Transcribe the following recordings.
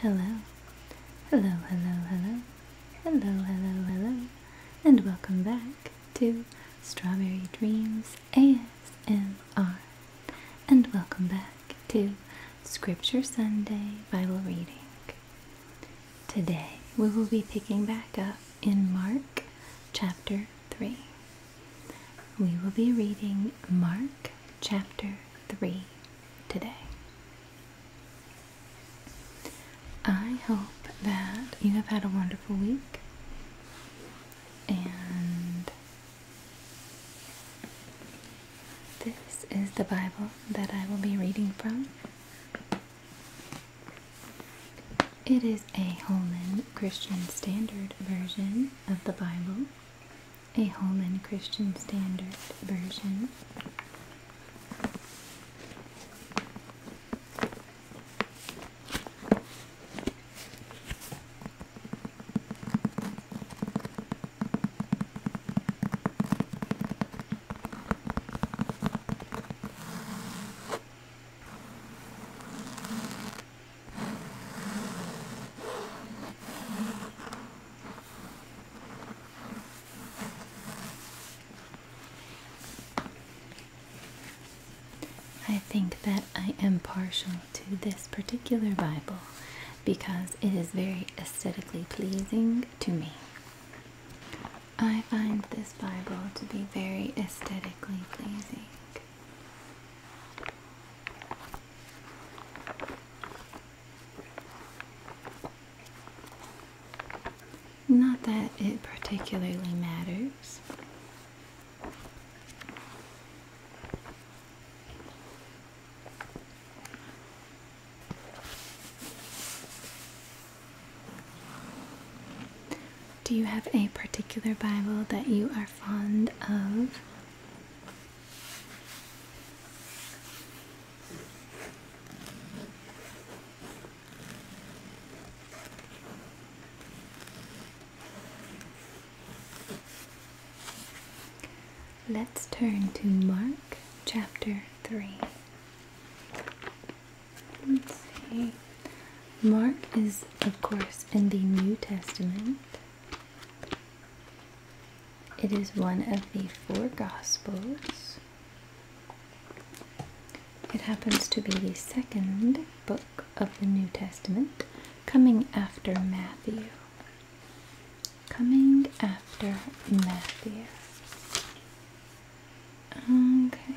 Hello, hello, hello, hello, hello, hello, hello, and welcome back to Strawberry Dreams ASMR, and welcome back to Scripture Sunday Bible Reading. Today we will be picking back up in Mark chapter 3. We will be reading Mark chapter three today. I hope that you have had a wonderful week and this is the Bible that I will be reading from. It is a Holman Christian Standard Version of the Bible, a Holman Christian Standard version. I think that I am partial to this particular Bible because it is very aesthetically pleasing to me. I find this Bible to be very aesthetically pleasing. Not that it particularly matters. Do you have a particular Bible that you are fond of? Let's turn to Mark chapter 3. Let's see. Mark is, of course, in the New Testament. It is one of the four Gospels. It happens to be the second book of the New Testament, coming after Matthew. Coming after Matthew. Okay.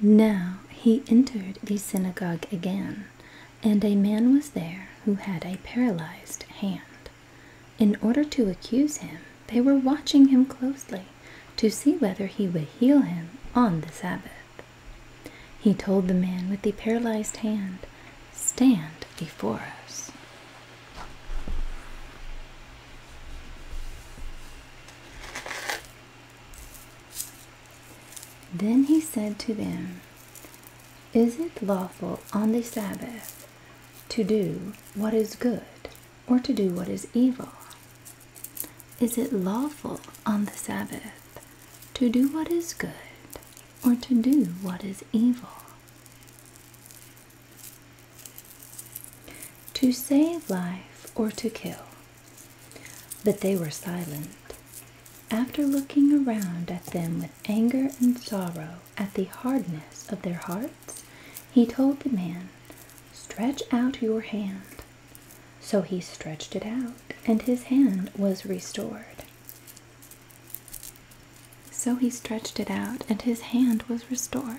Now he entered the synagogue again, and a man was there who had a paralyzed hand. In order to accuse him, they were watching him closely to see whether he would heal him on the Sabbath. He told the man with the paralyzed hand, stand before us. Then he said to them, Is it lawful on the Sabbath to do what is good or to do what is evil? Is it lawful on the Sabbath to do what is good or to do what is evil. To save life or to kill. But they were silent. After looking around at them with anger and sorrow at the hardness of their hearts, he told the man, Stretch out your hand. So he stretched it out, and his hand was restored. So he stretched it out, and his hand was restored.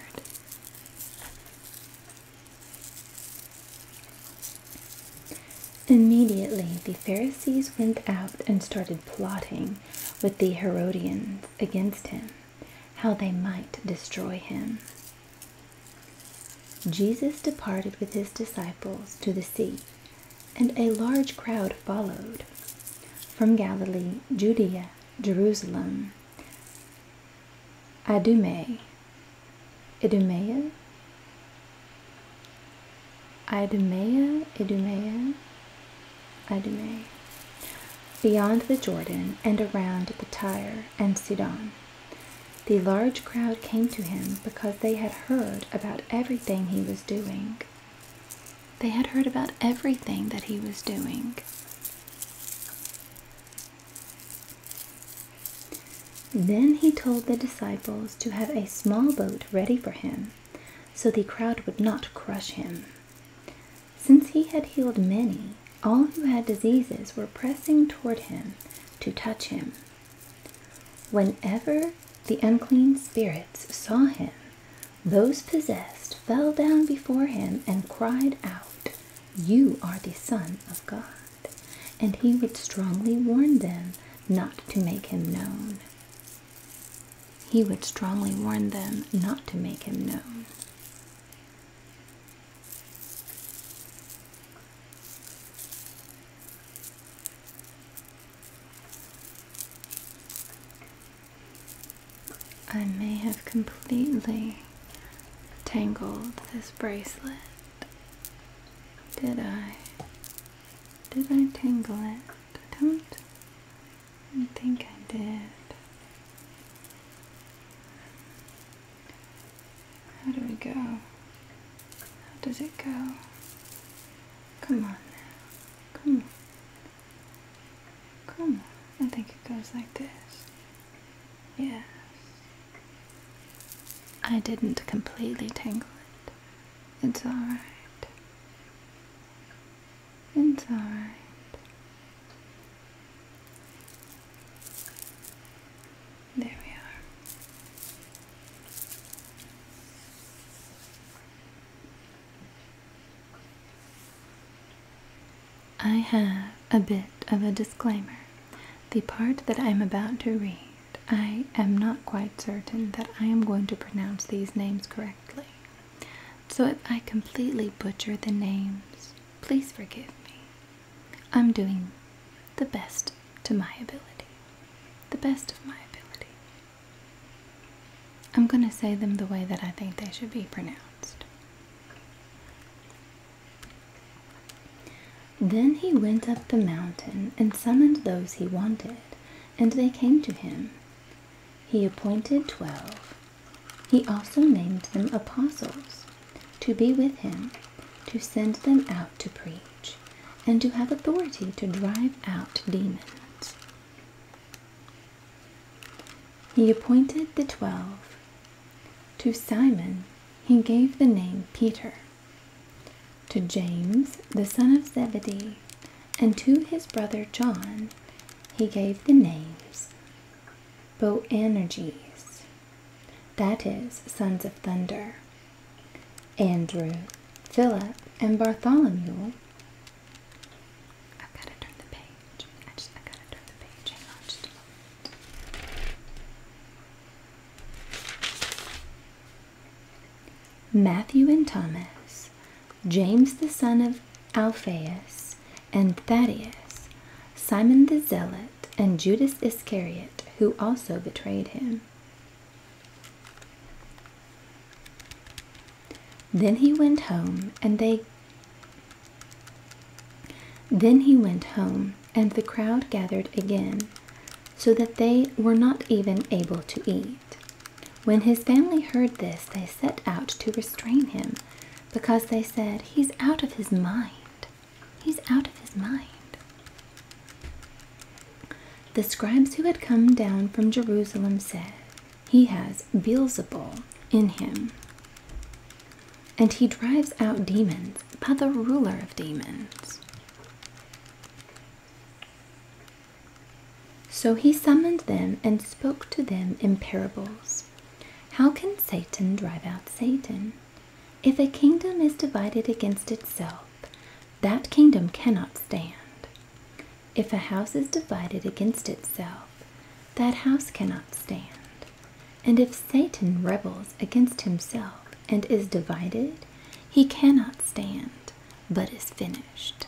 Immediately the Pharisees went out and started plotting with the Herodians against him, how they might destroy him. Jesus departed with his disciples to the sea and a large crowd followed from Galilee, Judea, Jerusalem, Idumea, Idumea, Idumea, Idumea, beyond the Jordan and around the Tyre and Sidon. The large crowd came to him because they had heard about everything he was doing. They had heard about everything that he was doing. Then he told the disciples to have a small boat ready for him, so the crowd would not crush him. Since he had healed many, all who had diseases were pressing toward him to touch him, Whenever the unclean spirits saw him, those possessed fell down before him and cried out, You are the Son of God. And he would strongly warn them not to make him known. He would strongly warn them not to make him known. I may have completely tangled this bracelet. Did I? Did I tangle it? I don't I think I did. How do we go? How does it go? Come on Come on. Come on. I think it goes like this. Yes. I didn't completely tangle it. It's alright. It's alright. There we are. I have a bit of a disclaimer. The part that I'm about to read, I am not quite certain that I am going to pronounce these names correctly. So if I completely butcher the names, please forgive me. I'm doing the best to my ability, the best of my ability. I'm going to say them the way that I think they should be pronounced. Then he went up the mountain and summoned those he wanted, and they came to him. He appointed twelve. He also named them apostles, to be with him, to send them out to preach and to have authority to drive out demons. He appointed the twelve. To Simon he gave the name Peter, to James the son of Zebedee, and to his brother John he gave the names Boanerges, that is, sons of thunder, Andrew, Philip, and Bartholomew. I've got to turn the page. I just I gotta turn the page. Hang on just a moment. Matthew and Thomas, James the son of Alphaeus, and Thaddeus, Simon the Zealot, and Judas Iscariot, who also betrayed him. Then he went home, and they then he went home, and the crowd gathered again, so that they were not even able to eat. When his family heard this, they set out to restrain him, because they said, He's out of his mind. He's out of his mind. The scribes who had come down from Jerusalem said, He has Beelzebul in him, and he drives out demons by the ruler of demons. So he summoned them and spoke to them in parables. How can Satan drive out Satan? If a kingdom is divided against itself, that kingdom cannot stand. If a house is divided against itself, that house cannot stand. And if Satan rebels against himself and is divided, he cannot stand, but is finished.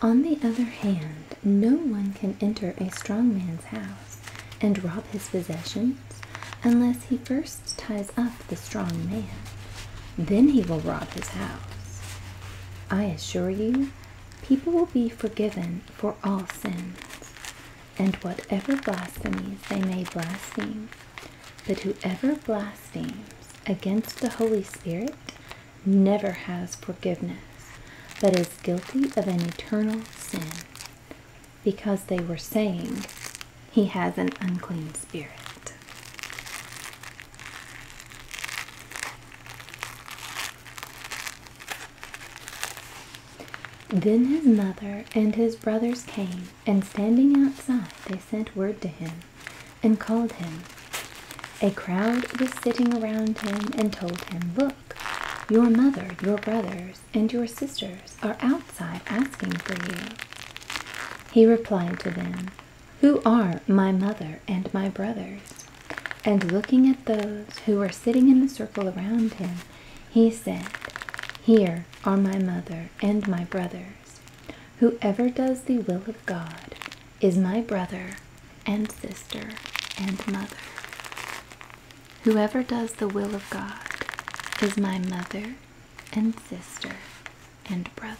On the other hand, no one can enter a strong man's house and rob his possessions unless he first ties up the strong man. Then he will rob his house. I assure you, people will be forgiven for all sins, and whatever blasphemies they may blaspheme. But whoever blasphemes against the Holy Spirit never has forgiveness, but is guilty of an eternal sin, because they were saying he has an unclean spirit. Then his mother and his brothers came, and standing outside, they sent word to him and called him. A crowd was sitting around him and told him, Look, your mother, your brothers, and your sisters are outside asking for you. He replied to them, Who are my mother and my brothers? And looking at those who were sitting in the circle around him, he said, Here are my mother and my brother." Whoever does the will of God is my brother and sister and mother. Whoever does the will of God is my mother and sister and brother.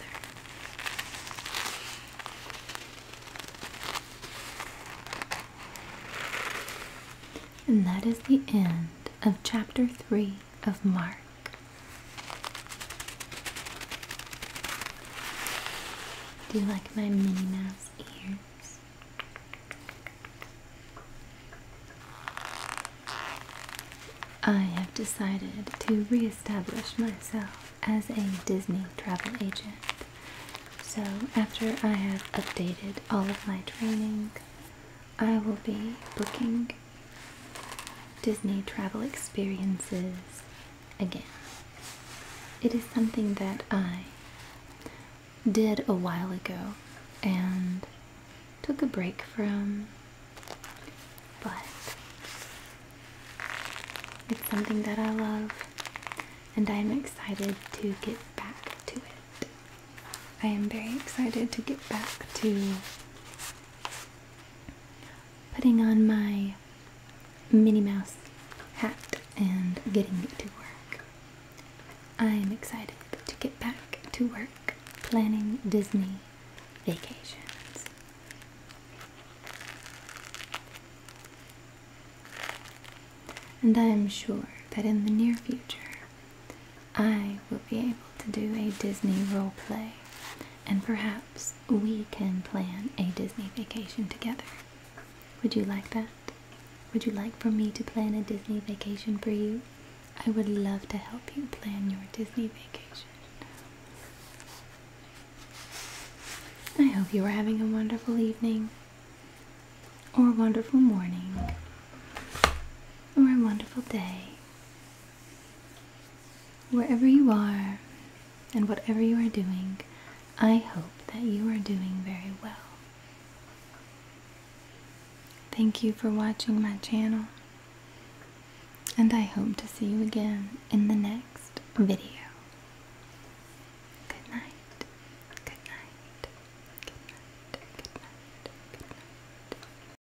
And that is the end of chapter 3 of Mark. Do you like my Minnie Mouse ears? I have decided to reestablish myself as a Disney travel agent. So, after I have updated all of my training, I will be booking Disney travel experiences again. It is something that I did a while ago and took a break from, but it's something that I love and I am excited to get back to it. I am very excited to get back to putting on my Minnie Mouse hat and getting to work. I'm excited to get back to work planning Disney vacations. And I am sure that in the near future I will be able to do a Disney role play, and perhaps we can plan a Disney vacation together. Would you like that? Would you like for me to plan a Disney vacation for you? I would love to help you plan your Disney vacation. I hope you are having a wonderful evening, or a wonderful morning, or a wonderful day. Wherever you are and whatever you are doing, I hope that you are doing very well. Thank you for watching my channel, and I hope to see you again in the next video. Good night, good night, good night, good night, good night.